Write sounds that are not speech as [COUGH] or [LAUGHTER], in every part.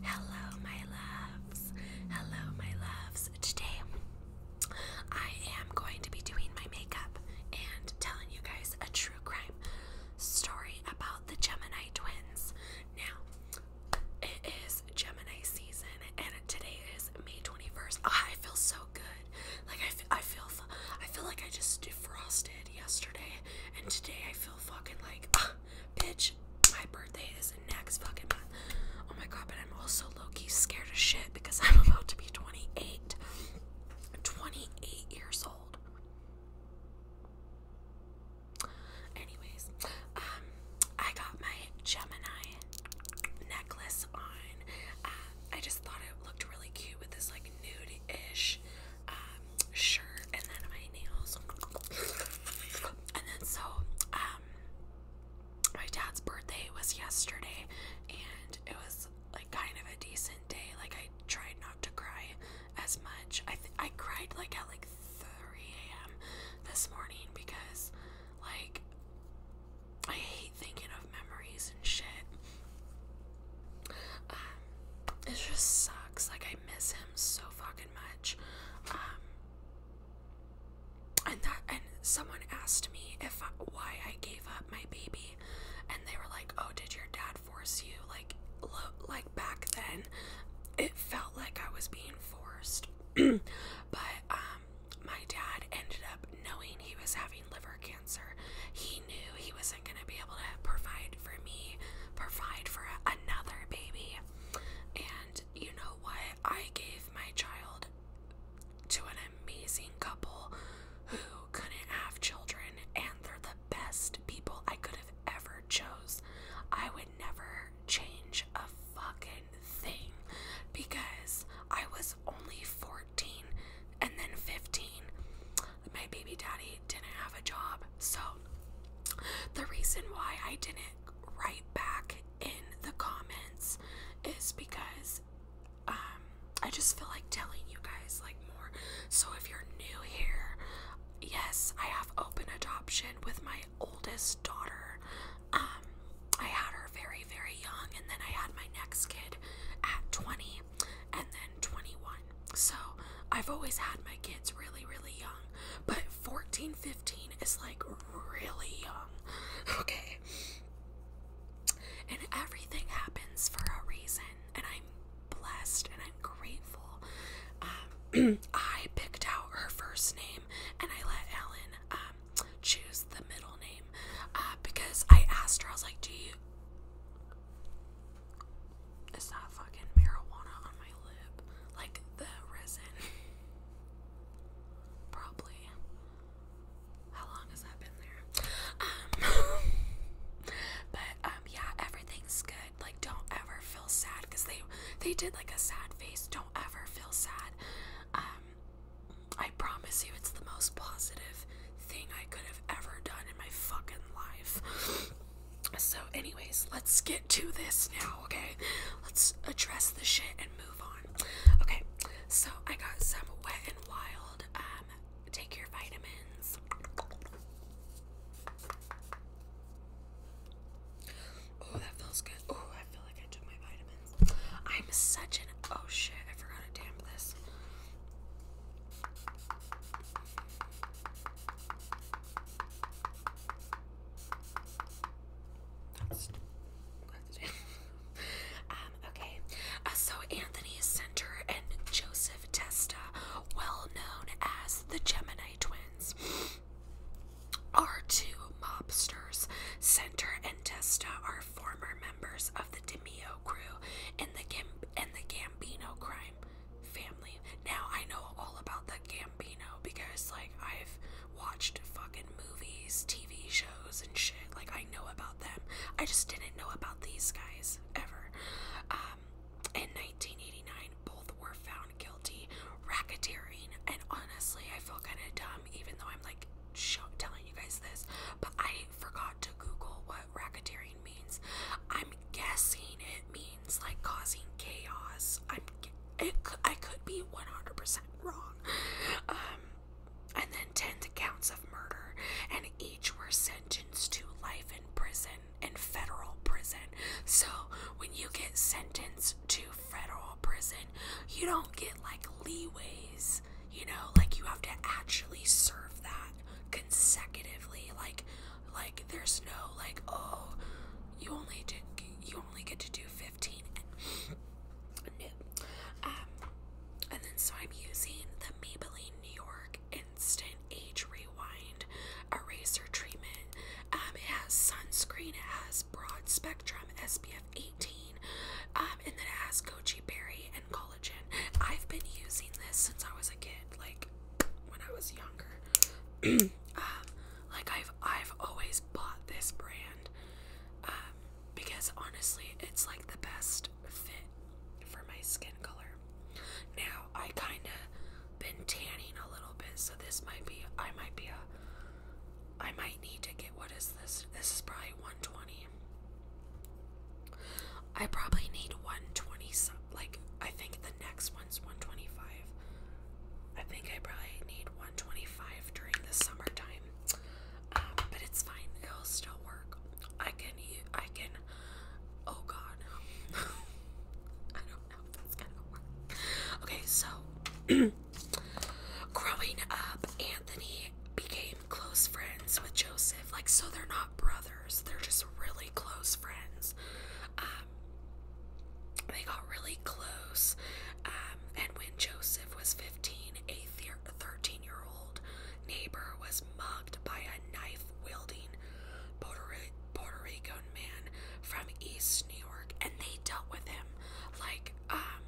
Hello, my loves. Hello, my loves. Today, I am going to be doing my makeup and telling you guys a true crime story about the Gemini twins. Now, it is Gemini season, and today is May 21st. Ah, I feel so good. Like I, f I feel, I feel like I just defrosted yesterday, and today I feel fucking like. Ah, bitch, my birthday is next fucking month. Oh my god, but I'm also Loki scared as shit because [LAUGHS] I'm about to be 28. years old. Anyways, um, I got my Gemini necklace on. Uh, I just thought it looked really cute with this like nude ish uh, Sure, and then my nails. and then so um my dad's birthday was yesterday and it was like kind of a decent day. Like I tried not to cry as much. I I cried like at like 3 a.m. this morning because like I hate thinking of memories and shit. Um, it just sucks. Like I miss him so fucking much. Um, and that and someone asked me if why I gave up my baby, and they were like, "Oh, did your dad force you?" Like, look, like back then, it felt like I was being forced, [CLEARS THROAT] but um, my dad ended up knowing he was having liver cancer. He knew he wasn't gonna be able to provide for me, provide for another baby, and you know what? I gave my child to an amazing couple who couldn't have children, and they're the best people I could have ever chose. I would never change a fucking thing because I was only 14 and then 15. My baby daddy didn't have a job. So the reason why I didn't write back in the comments is because um, I just feel like telling you guys like more. So if you're new here, yes, I have open adoption with my oldest daughter. Um, I had her very, very young, and then I had my next kid at 20 and then 21. So I've always had my kids really, really young. But Fourteen, fifteen is like really young. [LAUGHS] Okay. And everything happens for a reason, and I'm blessed and I'm grateful. Um, [CLEARS THROAT] I picked out her first name, and I let Ellen um, choose the middle name uh, because I asked her. I was like, "Do you?" It's that fucking marijuana on my lip? Like the resin? Probably. How long has that been there? Um, [LAUGHS] but um, yeah, everything's good. Like, don't ever feel sad because they they did like a sad face. Don't ever feel sad. Um, I promise you, it's the most positive thing I could have ever done in my fucking life. So, anyways, let's get to this now, okay? Let's address the shit and move on. Okay, so I got some wet and wild. Um, take your vitamins. Oh, that feels good. Oh, I feel like I took my vitamins. I'm such an oh shit, I forgot to damn this. That's um, okay. Uh, so Anthony Center and Joseph Testa, well known as the Gemini twins, are two mobsters. Center and Testa are former members of the DeMio crew in and the Gambino crime family. Now I know all about the Gambino because like I've watched fucking movies, TV shows and shit. Like I know about them. I just didn't know about these guys ever. Um in 1989 both were found guilty racketeering and honestly I feel kind of dumb even though I'm like telling you guys this, but I forgot to Google what racketeering means. I'm guessing it means means like causing chaos. I'm it, I could be 100% wrong. Um, and then 10 counts of murder, and each were sentenced to life in prison, in federal prison. So when you get sentenced to federal prison, you don't get like leeways, you know, like you have to actually serve that consecutively. Like, like there's no like oh you only you only get to do 15 and [COUGHS] Um and then so I'm using the Maybelline New York Instant Age Rewind Eraser Treatment. Um it has sunscreen, it has broad spectrum SPF 18, um, and then it has goji berry and collagen. I've been using this since I was a kid, like when I was younger. [COUGHS] um, like I've I've always bought this brand um, because honestly, it's like the best fit for my skin color. Now I kind of been tanning a little bit, so this might be I might be a I might need to get what is this? This is probably 120. I probably need 120 some like I think the next one's 125. I think I probably need 125 during the summertime, um, but it's fine. It'll still work. I can. I can. Oh God. [LAUGHS] I don't know if it's gonna Okay, so [CLEARS THROAT] growing up, Anthony became close friends with Joseph. Like, so they're not brothers. They're just really close friends. Um, um, they got really close. Um, and when Joseph was 15, a 13 year old neighbor was mocked by a knife wielding Puerto Rican man from East New York. And they dealt with him like, um,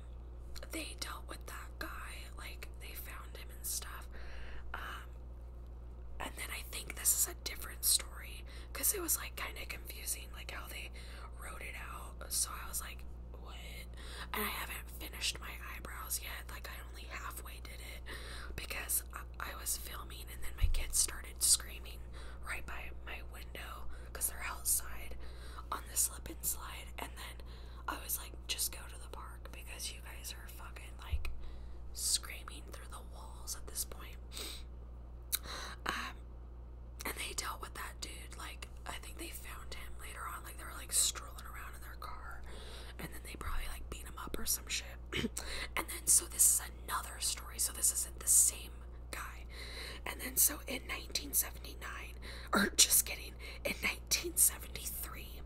they dealt with that guy, like, they found him and stuff. and then I think this is a different story because it was like kind of confusing, like how they wrote it out. So I was like, what? And I haven't finished my eyebrows yet. Like I only halfway did it because I, I was filming, and then my kids started screaming right by my window because they're outside on the slip and slide. And then I was like, just go to the park because you guys are fucking like screaming through the walls at this point. Um, and they dealt with that dude. Like, I think they found him later on. Like, they were like strolling around in their car, and then they probably like beat him up or some shit. [CLEARS THROAT] and then, so this is another story. So, this isn't the same guy. And then, so in 1979, or just kidding, in 1973,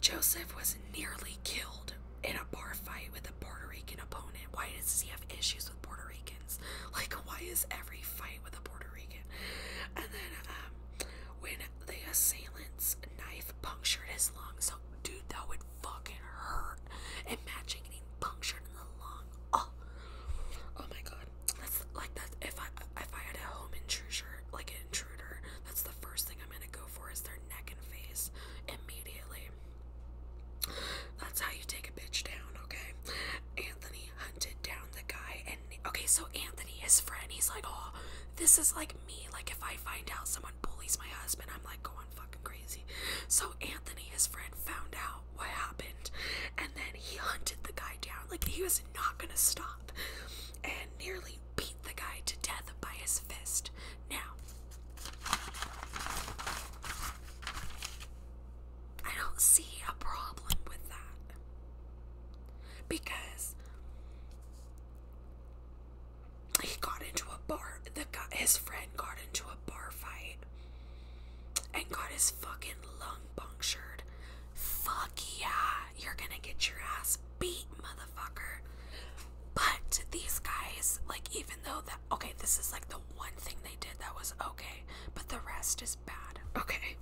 Joseph was nearly killed in a bar fight with the Puerto Rican opponent? Why does he have issues with Puerto Ricans? [LAUGHS] Like, why is every fight with a Puerto Rican? And then, um, when the assailant's knife punctured his lung, so dude, that would fucking hurt. Imagine getting punctured in the lung. Oh, oh my god. That's like that. If I if I had a home intruder, like an intruder, that's the first thing I'm gonna go for is their neck and face immediately. That's how you take a bitch down, okay? Anthony hunted down the guy, and okay, so Anthony, his friend, he's like, oh, this is like me. Like, if I find out someone bullies my husband, I'm like going fucking crazy. So Anthony, his friend, found out what happened, and then he hunted the guy down. Like, he was not gonna stop, and nearly beat the guy to death by his fist. Now, I don't see a problem with that because he got into a bar. The guy, his friend got into a bar fight and got his fucking lung punctured. Fuck yeah, you're gonna get your ass beat, motherfucker. But these guys, like, even okay, this is like the one thing they did that was okay, but the rest is bad. Okay.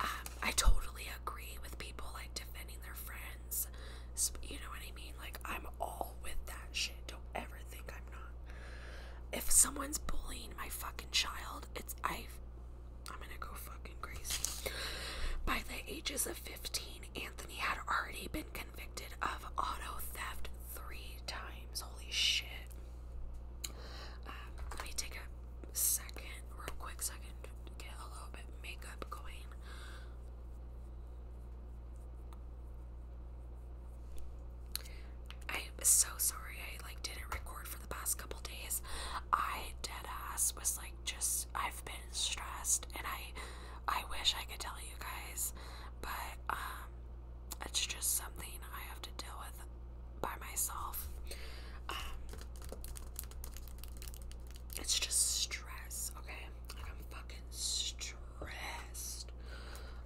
Um, I totally agree with people like defending their friends. You know what I mean? Like I'm all with that shit. Don't ever think I'm not. If someone's bullying my fucking child, it's I I'm gonna go fucking crazy. By the ages of 15, Anthony had already been connected convicted of auto theft three times. Holy shit. Um, let me take a second, quick second, get a little bit makeup going. I am so sorry I like didn't record for the past couple days. I dead ass was like just I've been stressed and I I wish I could tell you guys, but um, it's just something I have to deal with by myself. Um, it's just stress, okay? I'm fucking stressed,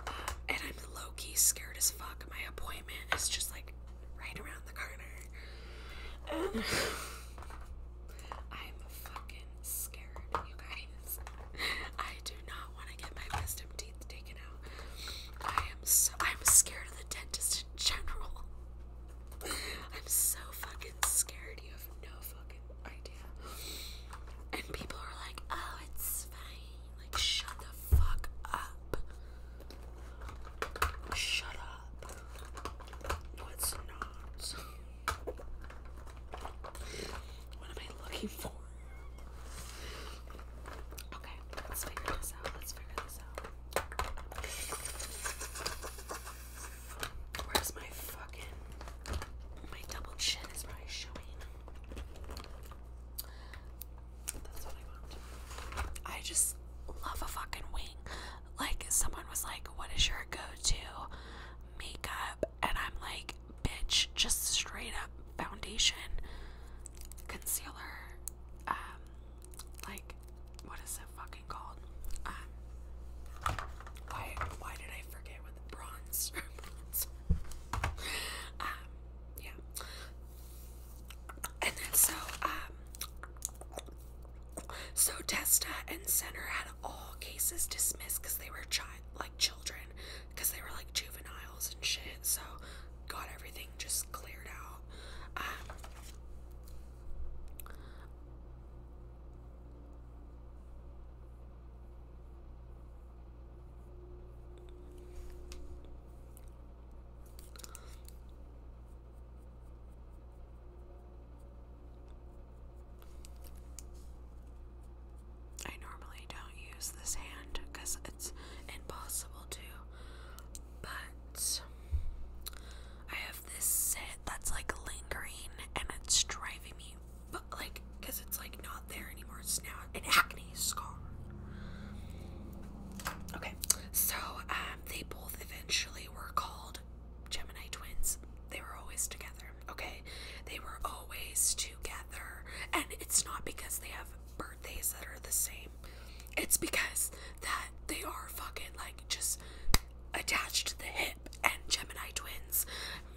um, and I'm low key scared as fuck. My appointment is just like right around the corner. And [SIGHS] I'm fucking scared, you guys. [LAUGHS] I do not want to get my wisdom teeth taken out. I am so I'm scared of the dentist in general. [LAUGHS] I'm so fucking scared. You have no fucking idea. And people are like, "Oh, it's fine." Like, shut the fuck up. Shut up. No, not. What am I looking for? Okay, let's figure this out. Let's figure this out. Where's my fucking. My double chin is probably showing. That's what I want. I just love a fucking wing. Like, someone was like, What is your go to makeup and I'm like, bitch, just straight up foundation, concealer, um, like, what is it fucking called? Um, why, why did I forget what the bronze? [LAUGHS] um, yeah. And then so, um, so Testa and Center had all cases dismissed because they were child, like children because they were like juveniles and shit. So got everything just cleared out. Um, I normally don't use this hand because it's impossible to, but I have this sit that's like lingering and it's driving me, but like, because it's like not there anymore. It's now an acne scar. Okay, so um, they both eventually were called Gemini twins. They were always together okay? They were always together. And it's not because they have birthdays that are the same. It's because that they are fucking like just attached to the hip and Gemini twins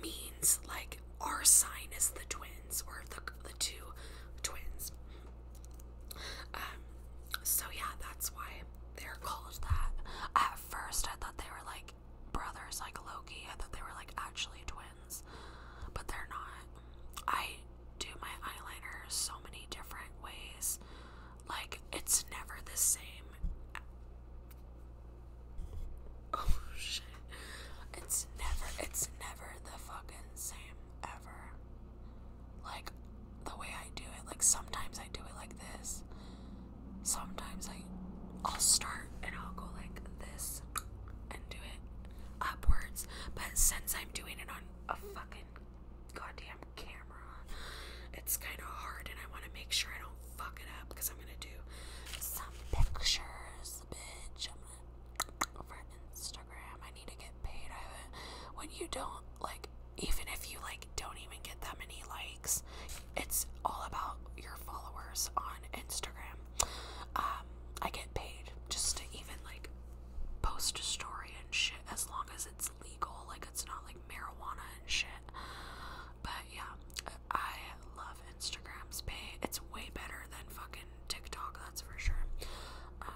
means like our sign is the twins or the the two twins. Um so yeah, that's why they're called that. At first I thought they were like brothers like Loki. I thought they were like actually twins, but they're not. I do my eyeliner so many different ways. Like it's never the same. [LAUGHS] Oh shit. It's never it's never the fucking same ever. Like the way I do it. Like sometimes I do it like this sometimes I, I'll start and I'll go like this and do it upwards. But since I'm doing it on a fucking goddamn camera, it's kind of hard and I want to make sure I don't fuck it up because I'm going to do some pictures, bitch. I'm gonna, for Instagram, I need to get paid. I, when you don't, like, even if you like don't even get that many likes it's all about your followers on Instagram. Um, I get paid just to even like post a story and shit as long as it's legal, like it's not like marijuana and shit. But yeah, I love Instagram's pay. It's way better than fucking TikTok, that's for sure. Um,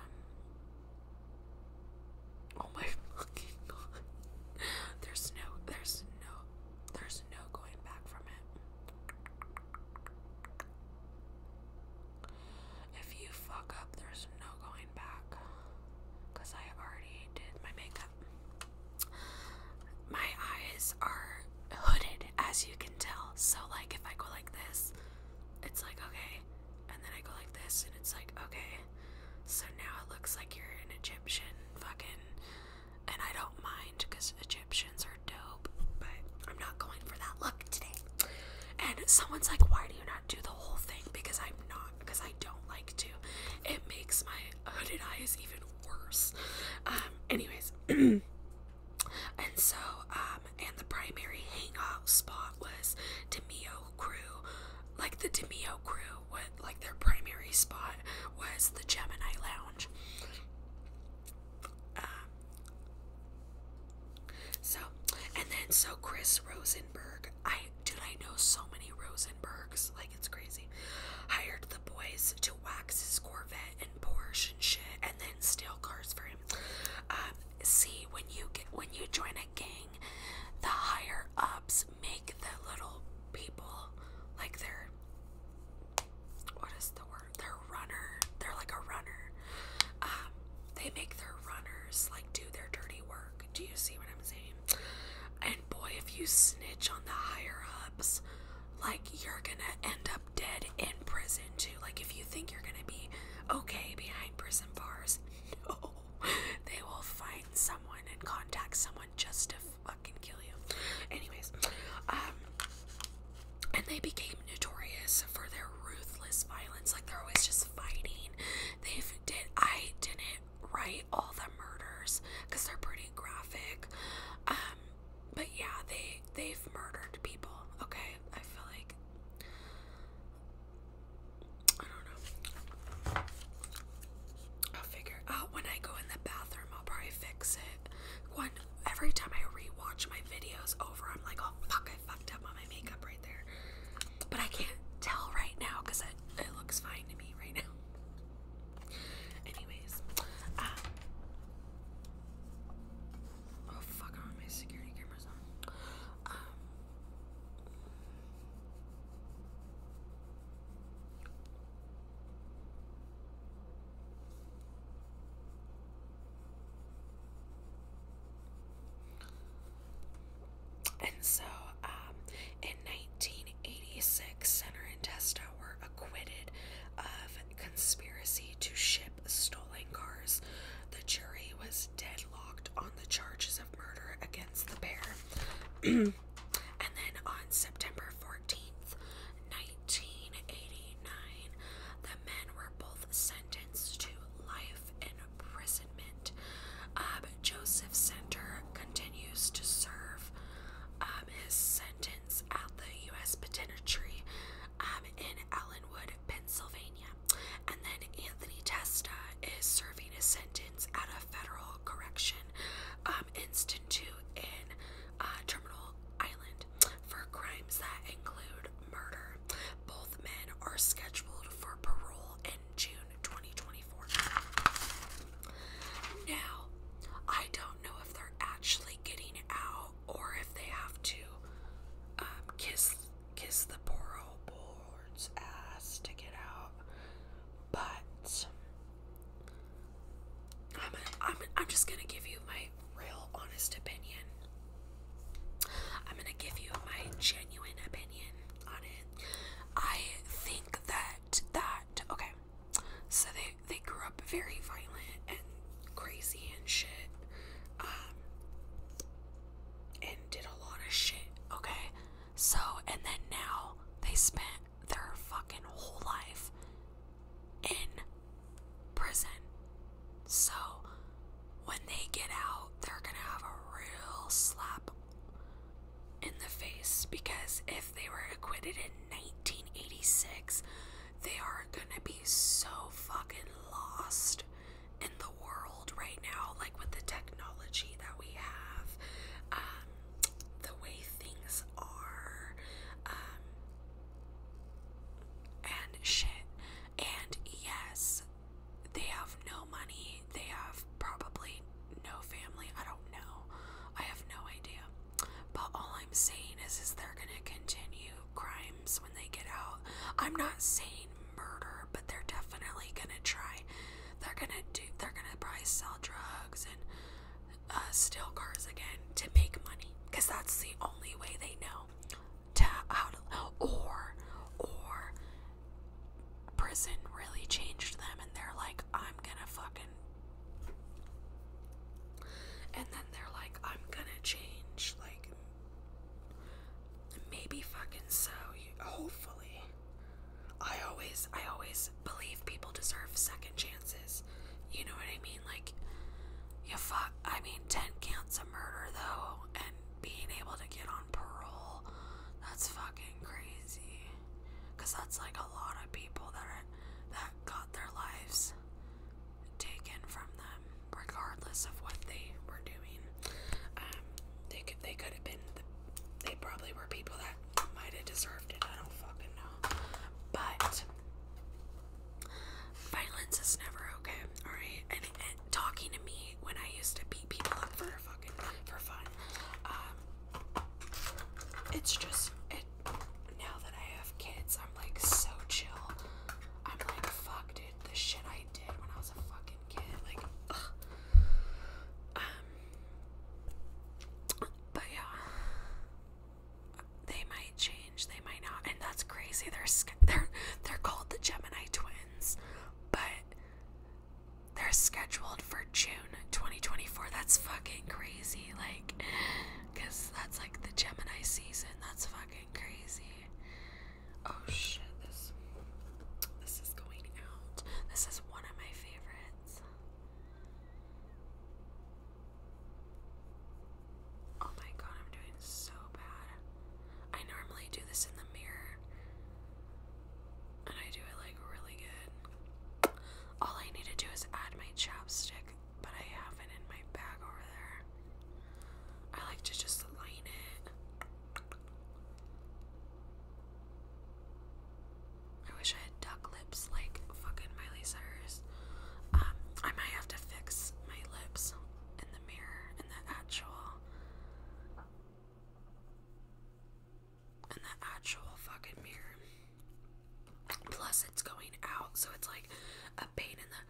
oh my fucking [LAUGHS] There's no, there's no, there's no going back from it. If you fuck up, there's no going back. Because I already did my makeup. My eyes are hooded, as you can tell. So, like, if I go like this, it's like, okay. And then I go like this, and it's like, okay. So now it looks like you're an Egyptian fucking and I don't mind because Egyptians are dope, but I'm not going for that look today. And someone's like, why do you not do the whole thing? Because I'm not, because I don't like to. It makes my hooded eyes even worse. Um, anyways, [CLEARS THROAT] and so, um, and the primary hangout spot was Demio Crew. Like the Demio Crew, what like their primary spot was the Gemini Lounge um, so, and then so Chris Rosenberg, I dude, I know so many Rosenbergs, like it's crazy. Hired the boys to wax his Corvette and Porsche and shit, and then steal cars for him. Um, see, when you get when you join a gang, the higher ups make the little people like they're what is the word? They're runner. They're like a runner. Um, they make their runners like do their dirty work. Do you see what I'm saying? And boy, if you snitch on the higher ups, like you're gonna end up dead in prison too. Like if you think you're gonna be okay behind prison bars, [LAUGHS] no, they will find someone and contact someone just to kill you. Anyways, um, and they became notorious for their ruthless violence. Like they're always just fighting. they did I didn't write all the murders because they're pretty graphic. Um, but yeah, they they've murdered people. Okay, I feel like I don't know. I'll figure out uh, when I go in the bathroom. I'll probably fix it. One every time I rewatch my videos over, I'm like, oh fuck, I fucked up on my makeup right there. But I can't tell right now because it, it looks fine to me right now. Anyways, um, oh fuck, I want my security cameras on. Um, and so, um, in 1986, Center and Testa were acquitted of conspiracy to ship stolen cars. The jury was deadlocked on the charges of murder against the pair. [CLEARS THROAT] and then on September 14th, 1989, the men were both sentenced to life imprisonment. Um, Joseph Center continues to serve um, his sentence at the U.S. Penitentiary um, in Allenwood, Pennsylvania. And then Anthony Testa is serving his sentence at a federal correction institute in uh, Terminal Island for crimes that include murder. Both men are scheduled for parole in June 2024. Now, I don't know if they're actually getting out or if they have to um, kiss kiss the parole board's ass to get out, but I'm, I'm, I'm just gonna give you my real honest opinion. I'm gonna give you my genuine opinion on it. I think that that okay. So they they grew up very violent and crazy and shit. Um and did a lot of shit, okay? So and then now they spend their fucking whole life in prison. So when they get out, they're gonna have a real slap in the face because if they were acquitted in 1986, they are gonna be so fucking lost in the world right now, like with the technology that we have. Um, the way things are, um, and shit. And yes, they have no money. They have probably no family. I don't know. I have no idea. But all I'm saying is, is they're gonna continue crimes when they get out. I'm not saying murder, but they're definitely gonna try. They're gonna do. They're gonna probably sell drugs and uh, steal cars again to make money because that's the only way they know to how to or or prison really changed them and they're like I'm gonna fucking and then they're like I'm gonna change like maybe fucking so hopefully I always I always believe people deserve second chances. You know what I mean? Like, you fuck. I mean, 10 counts of murder, though, and being able to get on parole, that's fucking crazy. Because that's like a lot of people that, are, that got their lives taken from them, regardless of what they were doing. Um, they could, they could have been, they probably were people that might have deserved it. I don't fucking know. But Violence is never okay, alright? And, talking to me when I used to beat people up for fucking for fun. Um it's just it now that I have kids, I'm like so chill. I'm like fuck dude, the shit I did when I was a fucking kid, like Um but yeah they might change, they might not, and that's crazy. They're they're they're called the Gemini twins, but they're scheduled for June 2024. That's fucking crazy, like, cause that's like the Gemini season. That's fucking crazy. Oh shit, this this is going out. This is one of my favorites. Oh my god, I'm doing so bad. I normally do this in the mirror, and I do it like really good. All I need to do is add my chapstick, but I have it in my bag over there. I like to just line it. I wish I had duck lips like fucking Miley Cyrus. Um, I might have to fix my lips in the mirror, in the actual, in the actual fucking mirror. Plus, it's going out, so it's like a pain in the,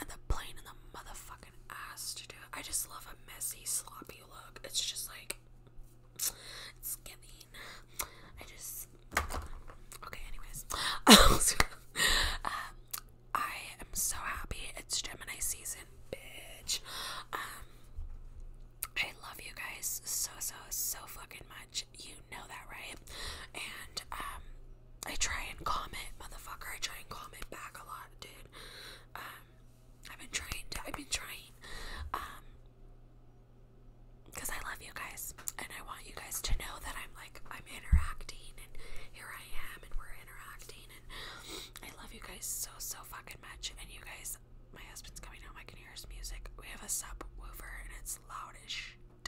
and the plane in the motherfucking ass to do. I just love a messy, sloppy look. It's just like it's I just okay. Anyways, um, I am so happy it's Gemini season, bitch. Um, I love you guys so so so fucking much. You know that, right? And um, I try and comment, motherfucker. I try and comment back a lot, dude. Um, I've been trying. I've been trying. Um, because I love you guys and I want you guys to know that I'm like I'm interacting and here I am and we're interacting and I love you guys so so fucking much and you guys my husband's coming home I can hear his music we have a sub woofer, and it's loud as shit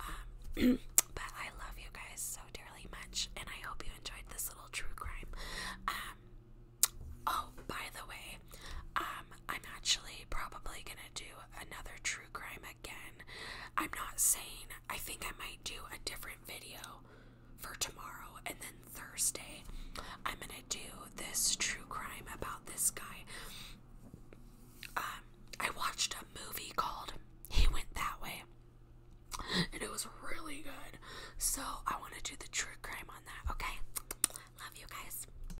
um, [CLEARS THROAT] but I love you guys so dearly much and I hope you enjoyed this little true crime um, oh by the way um, I'm actually probably gonna do another true crime again. I'm not saying I think I might do a different video for tomorrow and then Thursday. I'm gonna do this true crime about this guy. Um, I watched a movie called He Went That Way, and it was really good. So I want to do the true crime on that, okay? Love you guys.